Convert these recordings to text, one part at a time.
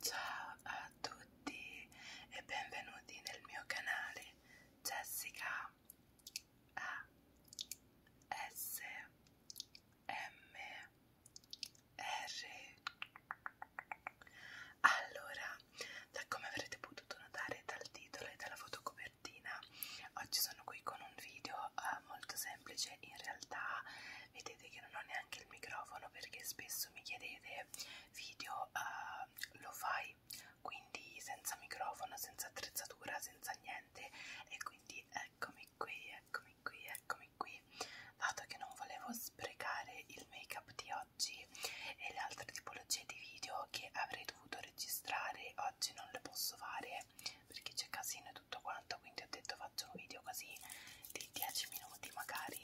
Ciao a tutti e benvenuti nel mio canale Jessica A S M R Allora, da come avrete potuto notare dal titolo e dalla fotocopia copertina oggi sono qui con un video eh, molto semplice in realtà vedete che non ho neanche il microfono perché spesso mi chiedete video eh, lo fai quindi senza microfono senza attrezzatura senza niente e quindi eccomi qui eccomi qui eccomi qui dato che non volevo sprecare il make up di oggi e le altre tipologie di video che avrei dovuto registrare oggi non le posso fare perché c'è casino e tutto quanto quindi ho detto faccio un video così di 10 minuti magari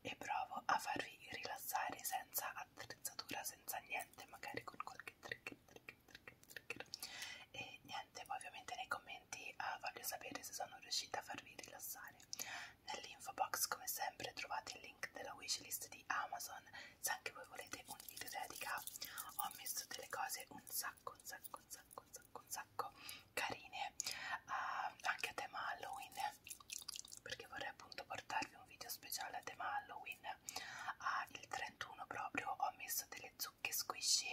e provo a farvi rilassare senza attrezzatura senza niente magari con qualche trigger trigger trigger trigger e niente poi ovviamente nei commenti uh, voglio sapere se sono riuscita a farvi rilassare nell'info box come sempre trovate il link della wishlist di Amazon se anche voi volete un video dedica ho messo delle cose un sacco un sacco un sacco un sacco un sacco carine uh, anche a tema Halloween perché vorrei appunto portarvi un video speciale a tema Halloween uh, il 31 proprio ho messo delle zucche squishy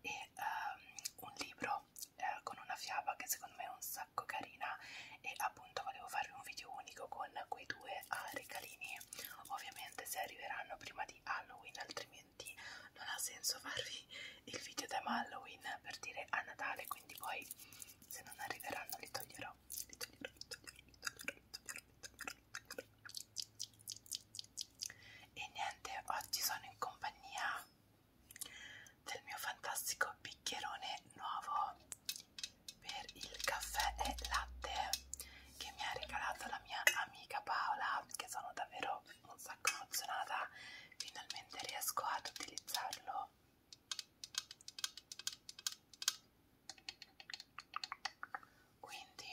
e um, un libro eh, con una fiaba che secondo me è un sacco sacco carina e appunto volevo farvi un video unico con quei due ah, regalini ovviamente se arriveranno prima di Halloween altrimenti non ha senso farvi il video da Halloween per dire a Natale quindi poi se non arriveranno li toglierò li toglierò li toglierò li toglierò, li toglierò, li toglierò, li toglierò. E niente, oggi sono in compagnia del mio fantastico bicchierone nuovo per il caffè e latte che mi ha regalato la mia amica Paola che sono davvero un sacco emozionata finalmente riesco ad utilizzarlo quindi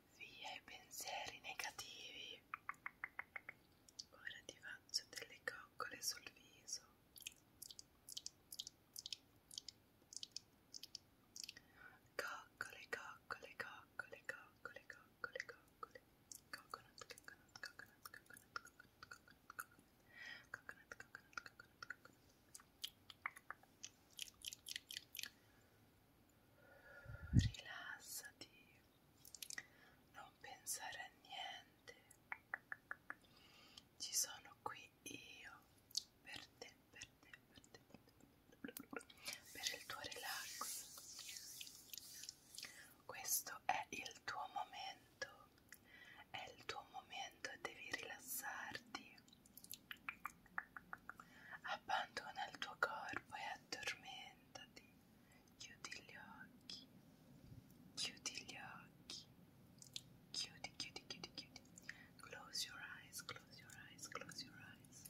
via i pensieri negativi. Ora ti faccio delle coccole sul viso. Coccole, coccole, coccole, coccole, coccole, coccole. Coconut, coconut, coconut, coconut, coconut, coconut, coconut, coconut, coconut, coconut rilassati, non pensare a niente, ci sono qui io per te, per te, per te, per il tuo relax. Questo è il tuo momento, è il tuo momento, devi rilassarti Abbandona il tuo corpo e addormentati. Chiudi gli occhi. Chiudi gli occhi. Chiudi, chiudi, chiudi, chiudi. Close your eyes, close your eyes, close your eyes.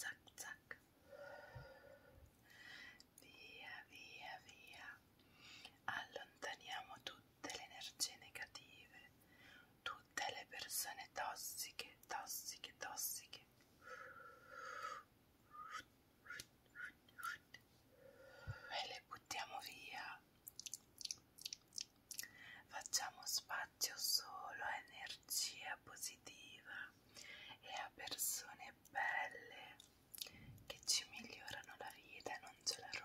zac zac via via via allontaniamo tutte le energie negative tutte le persone tossiche tossiche tossiche e le buttiamo via facciamo spazio solo a energia energia positiva e a persone belle che ci migliorano la vita e non ce la rovinano.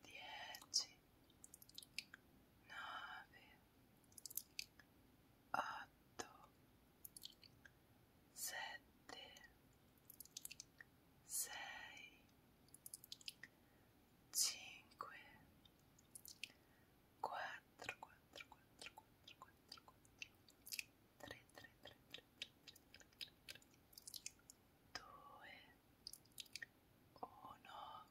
dieci, nove, otto, sette, sei, cinque, quattro, quattro, quattro, quattro, quattro, quattro, tre, tre, tre, tre, due, uno,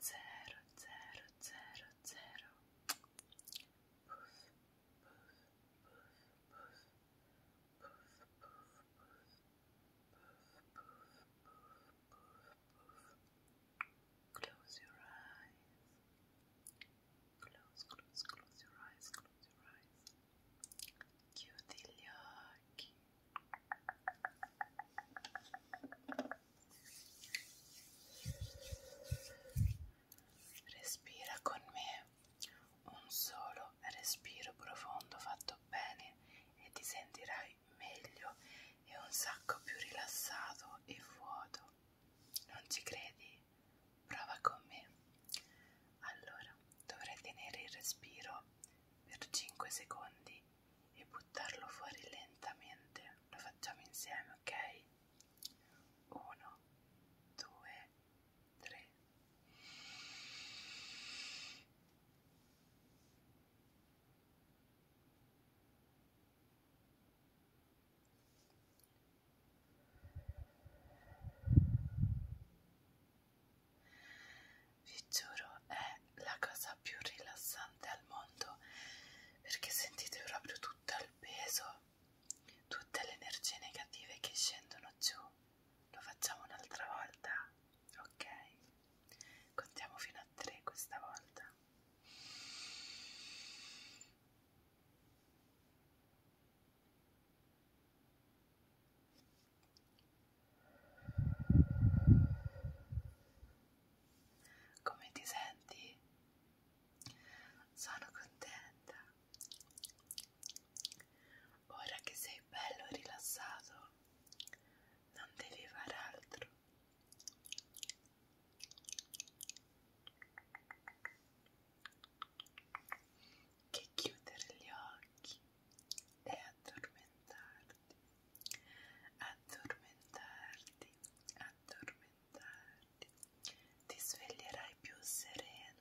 zero, zero, zero, zero. Puff, puff, puff, puff, puff, puff, puff, puff, puff, Close your eyes. Close, close, close your eyes. Close your eyes. chiudi gli occhi respira con me un solo respiro profondo fatto bene e ti sentirai meglio e un sacco più rilassato e vuoto non ci credi? Prova con me. Allora, dovrai tenere il respiro per 5 secondi e buttarlo fuori lentamente. Lo facciamo insieme, ok? 1 2 3 1 vi giuro è la cosa più rilassante al mondo perché sentite proprio tutto il peso tutte le energie negative che scendono giù lo facciamo un'altra volta ok contiamo fino a 3 questa volta come ti senti? Sono contenta. Ora che sei bello rilassato, non devi fare altro che chiudere gli occhi e addormentarti, addormentarti, addormentarti, ti sveglierai più sereno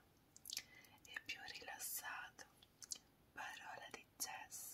e più rilassato, parola di Jess.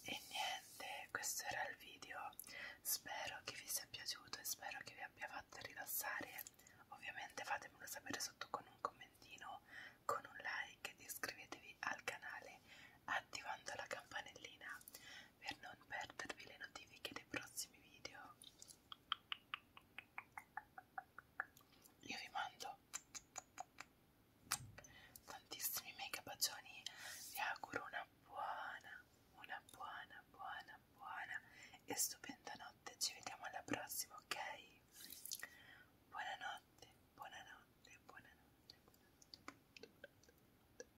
E niente, questo era il video. Spero che vi sia piaciuto e spero che vi abbia fatto rilassare. Ovviamente fatemelo sapere sotto con un commentino, con un like ed iscrivetevi al canale attivando la campanellina per non perdervi le notifiche dei prossimi video. Io vi mando tantissimi mega bacioni, vi auguro una buona, una buona, buona, buona e stupenda notte. Ci vediamo alla prossima, ok? Buonanotte, buonanotte, buonanotte. buonanotte, buonanotte, buonanotte.